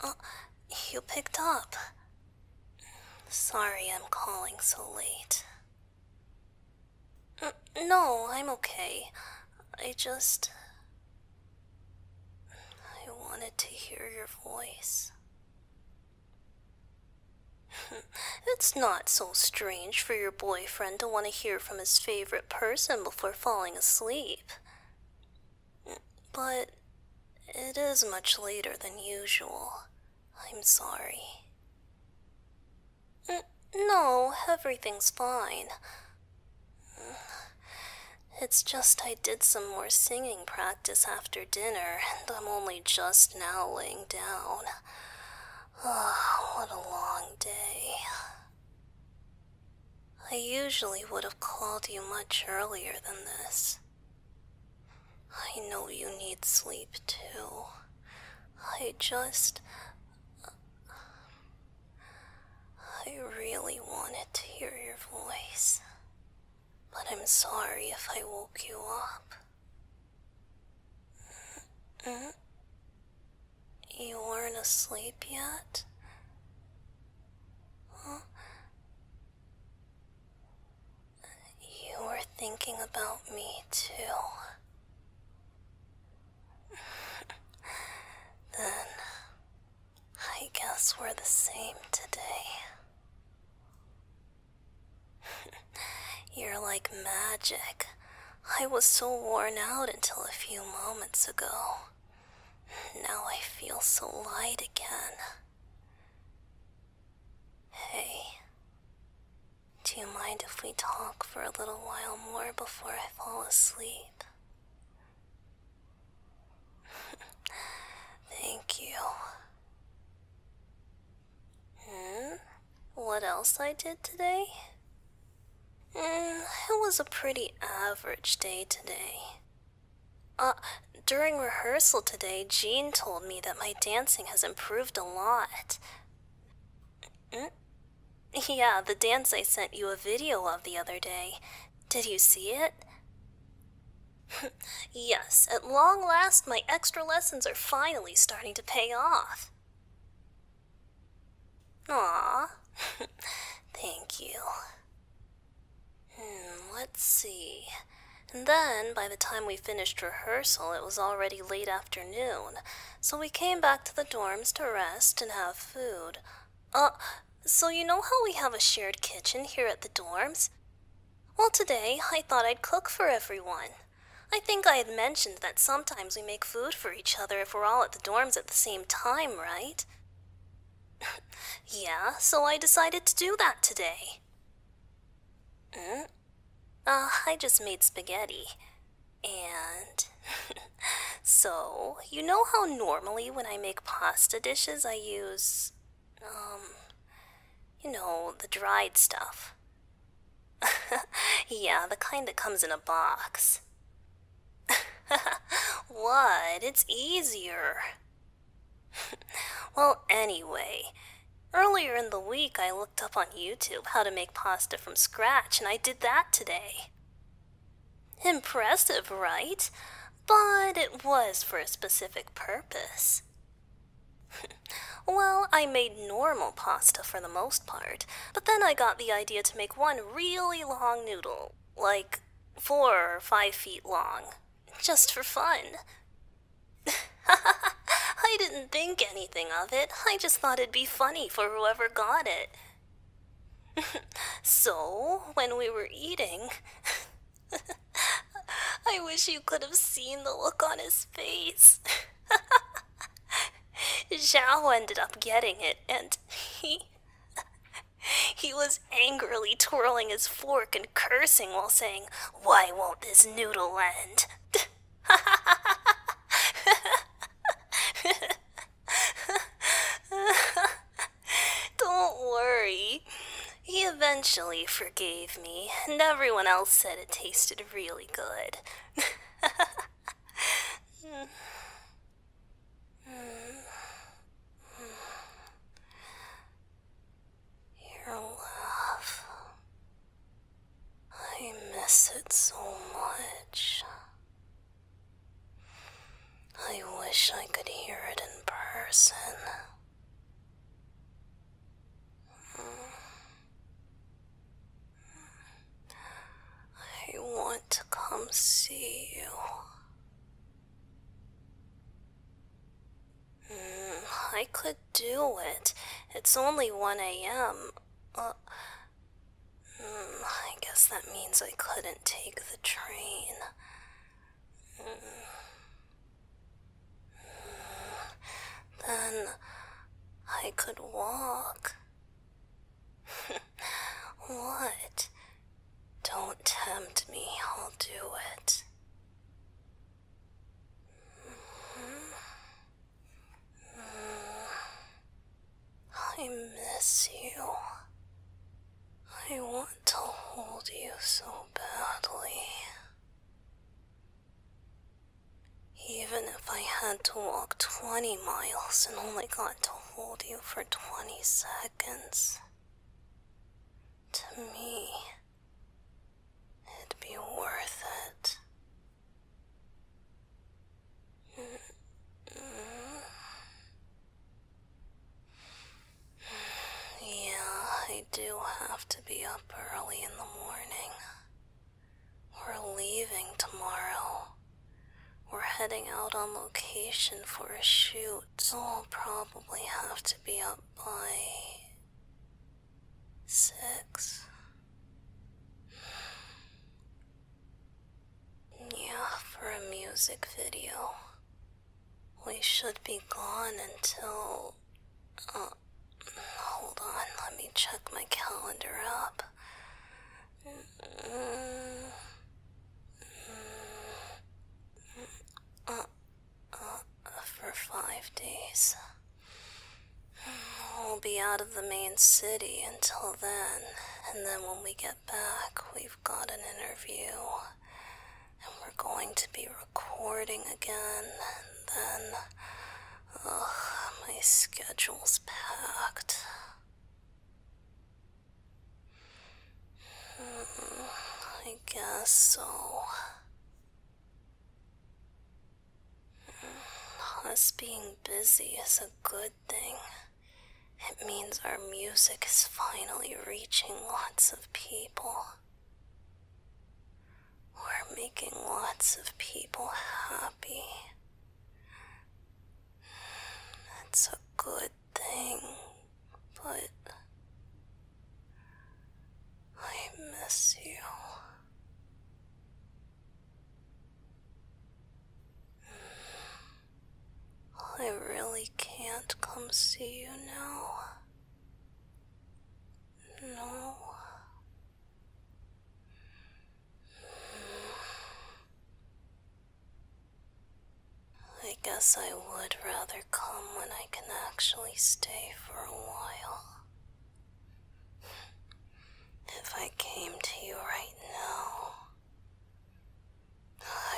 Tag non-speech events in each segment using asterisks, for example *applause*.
Oh, you picked up. Sorry I'm calling so late. no, I'm okay. I just. I wanted to hear your voice. *laughs* it's not so strange for your boyfriend to want to hear from his favorite person before falling asleep. But it is much later than usual. I'm sorry. No, everything's fine. It's just I did some more singing practice after dinner, and I'm only just now laying down. Oh, what a long day. I usually would have called you much earlier than this. I know you need sleep too. I just. I really wanted to hear your voice but I'm sorry if I woke you up. You weren't asleep yet? You were thinking about me too. then, I guess we're the same today. You're like magic. I was so worn out until a few moments ago. Now I feel so light again. Hey, do you mind if we talk for a little while more before I fall asleep? *laughs* Thank you. Hmm? What else I did today? Mm, it was a pretty average day today. Uh, during rehearsal today, Jean told me that my dancing has improved a lot. Mm? Yeah, the dance I sent you a video of the other day. Did you see it? yes, at long last, my extra lessons are finally starting to pay off. Aw, *laughs* thank you. Hmm, let's see. And then, by the time we finished rehearsal, it was already late afternoon, so we came back to the dorms to rest and have food. Uh, so you know how we have a shared kitchen here at the dorms? Well, today I thought I'd cook for everyone. I think I had mentioned that sometimes we make food for each other if we're all at the dorms at the same time, right? *laughs* yeah, so I decided to do that today. Mm? Uh, I just made spaghetti. And. *laughs* so, you know how normally when I make pasta dishes I use um, you know, the dried stuff. *laughs* yeah, the kind that comes in a box. *laughs* what? It's easier. *laughs* well, anyway, earlier in the week I looked up on YouTube how to make pasta from scratch, and I did that today. Impressive, right? But it was for a specific purpose. *laughs* well, I made normal pasta for the most part, but then I got the idea to make one really long noodle, like four or five feet long, just for fun. *laughs* I didn't think anything of it, I just thought it'd be funny for whoever got it. *laughs* so, when we were eating, I wish you could have seen the look on his face. *laughs* Xiao ended up getting it, and he. He was angrily twirling his fork and cursing while saying, Why won't this noodle end? *laughs* Don't worry. He eventually forgave me, and everyone else said it tasted really good. Your love. I miss it so much. I wish I could hear it in person. I want to come see you. Mm, I could do it. It's only 1 a.m. Uh, mm, I guess that means I couldn't take the train. Then I could walk. *laughs* what? Don't tempt me, I'll do it. I miss you. I want to hold you so badly. Even if I had to walk 20 miles and only got to hold you for 20 seconds, to me, it'd be worth it. Mm-hmm. Yeah, I do have to be up early in the morning. We're leaving tomorrow. We're heading out on location for a shoot, so I'll probably have to be up by. six. Yeah, for a music video. We should be gone until. Uh, hold on, let me check my calendar up. Mm, mm, mm, uh, uh, for five days. We'll be out of the main city until then, and then when we get back, we've got an interview and we're going to be recording again, and then. Ugh, my schedule's packed. Hmm, I guess so. Hmm, us being busy is a good thing. It means our music is finally reaching lots of people. We're making lots of people happy. That's a good thing, but I miss you. I really can't come see you now. No. I guess I would rather come when I can actually stay for a while. If I came to you right now,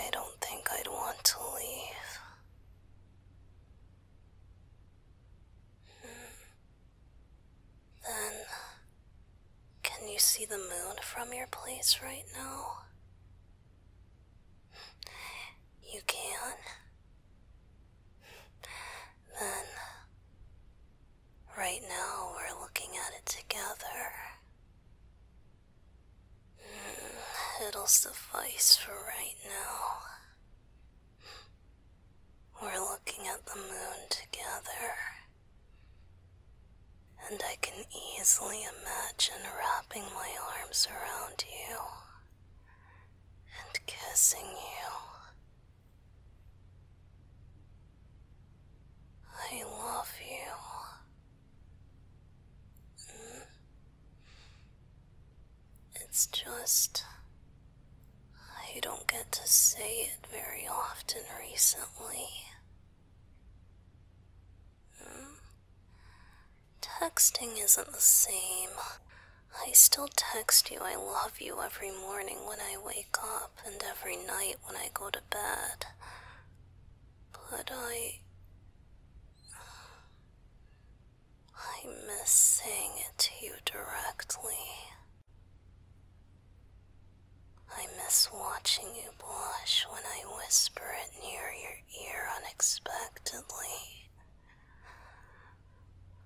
I don't think I'd want to leave. Then, can you see the moon from your place right now? You can? Then, right now we're looking at it together. Hmm, it'll suffice for right now. We're looking at the moon together, and I can easily imagine wrapping my arms around you and kissing you. I love you. It's just. I don't get to say it very often recently. Hmm? Texting isn't the same. I still text you I love you every morning when I wake up and every night when I go to bed. But I. I miss saying it to you directly. I miss watching you blush when I whisper it near your ear unexpectedly.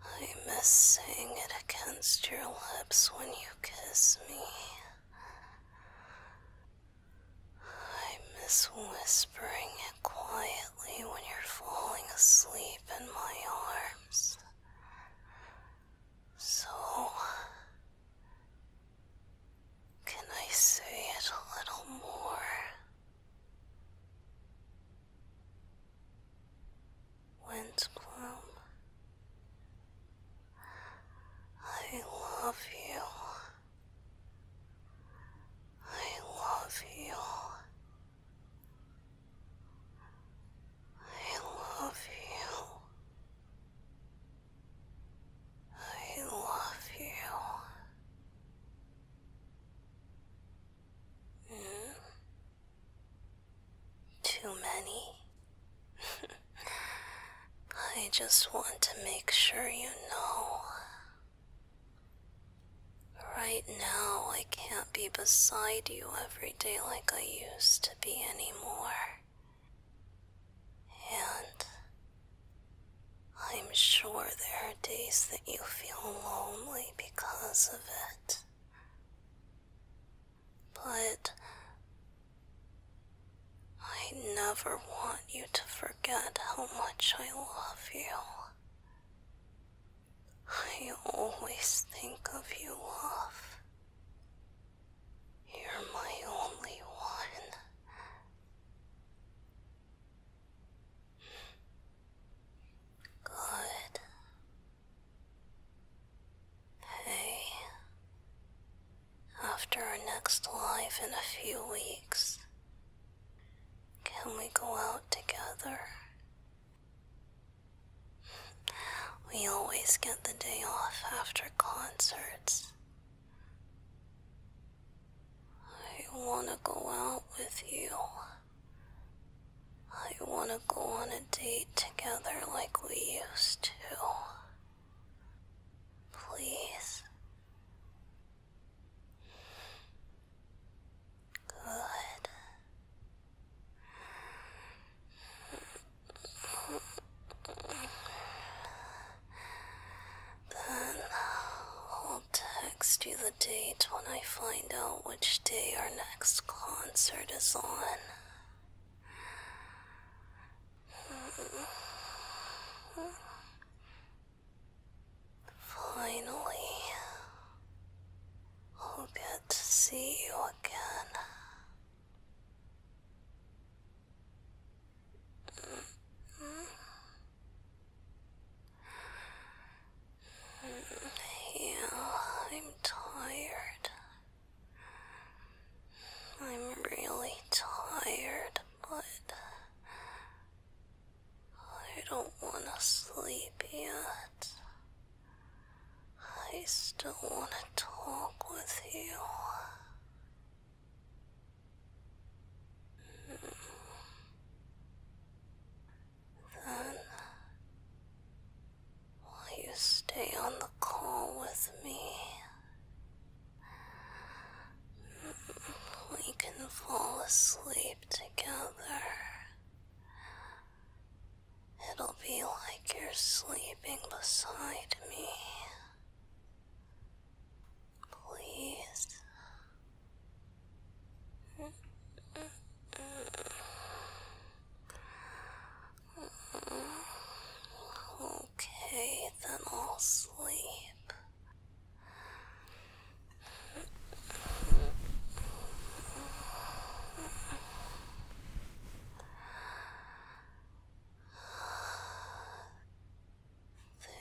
I miss saying it against your lips when you kiss me. I miss whispering quietly when you're falling asleep in my arms. So, can I say it a little more? Windbloom, I love you. I love you. I love you. I love you. Mm. Too many. *laughs* I just want to make sure you know Right now, I can't be beside you every day like I used to be anymore. And I'm sure there are days that you feel lonely because of it. But I never want you to forget how much I love you. I always think of you, love. You're my only one. Good. Hey, after our next life in a few weeks, can we go out together? We always get the day off after concerts. I want to go out with you. I want to go on a date together like we used to. Please, Good. Then I'll text you the date when I find out which day our next concert is on. Finally, I'll get to see you again. Yeah, I'm tired. I'm really tired, but I don't want to sleep yet. I still want to talk with you. Then, will you stay on the call with me? We can fall asleep together. It'll be like you're sleeping beside me. Please. Okay, then I'll sleep.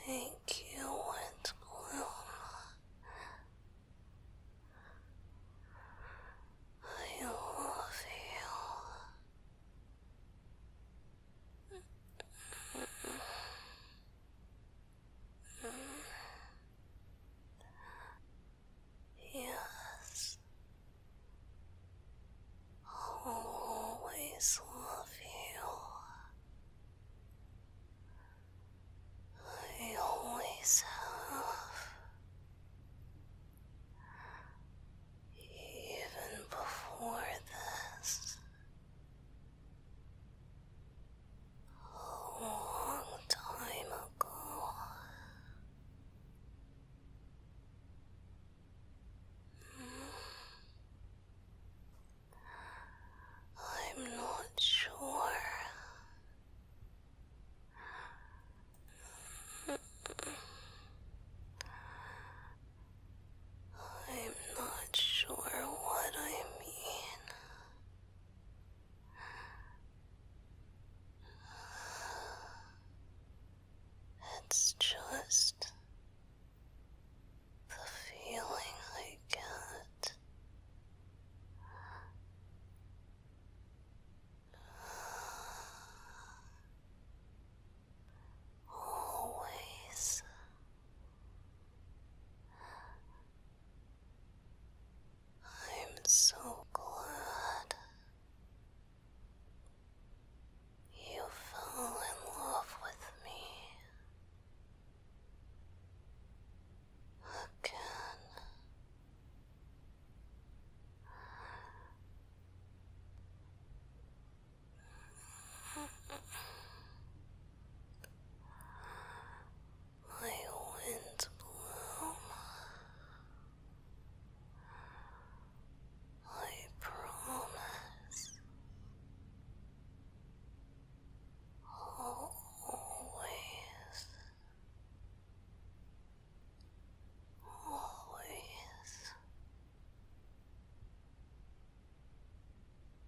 Thank you, Wet I love you. Yes, I'll always love you. I always have, even before this a long time ago. I'm not sure. I'm not sure what I mean. It's just the feeling I get. Always I'm so glad you fell in love with me again my wind bloom. I promise always, always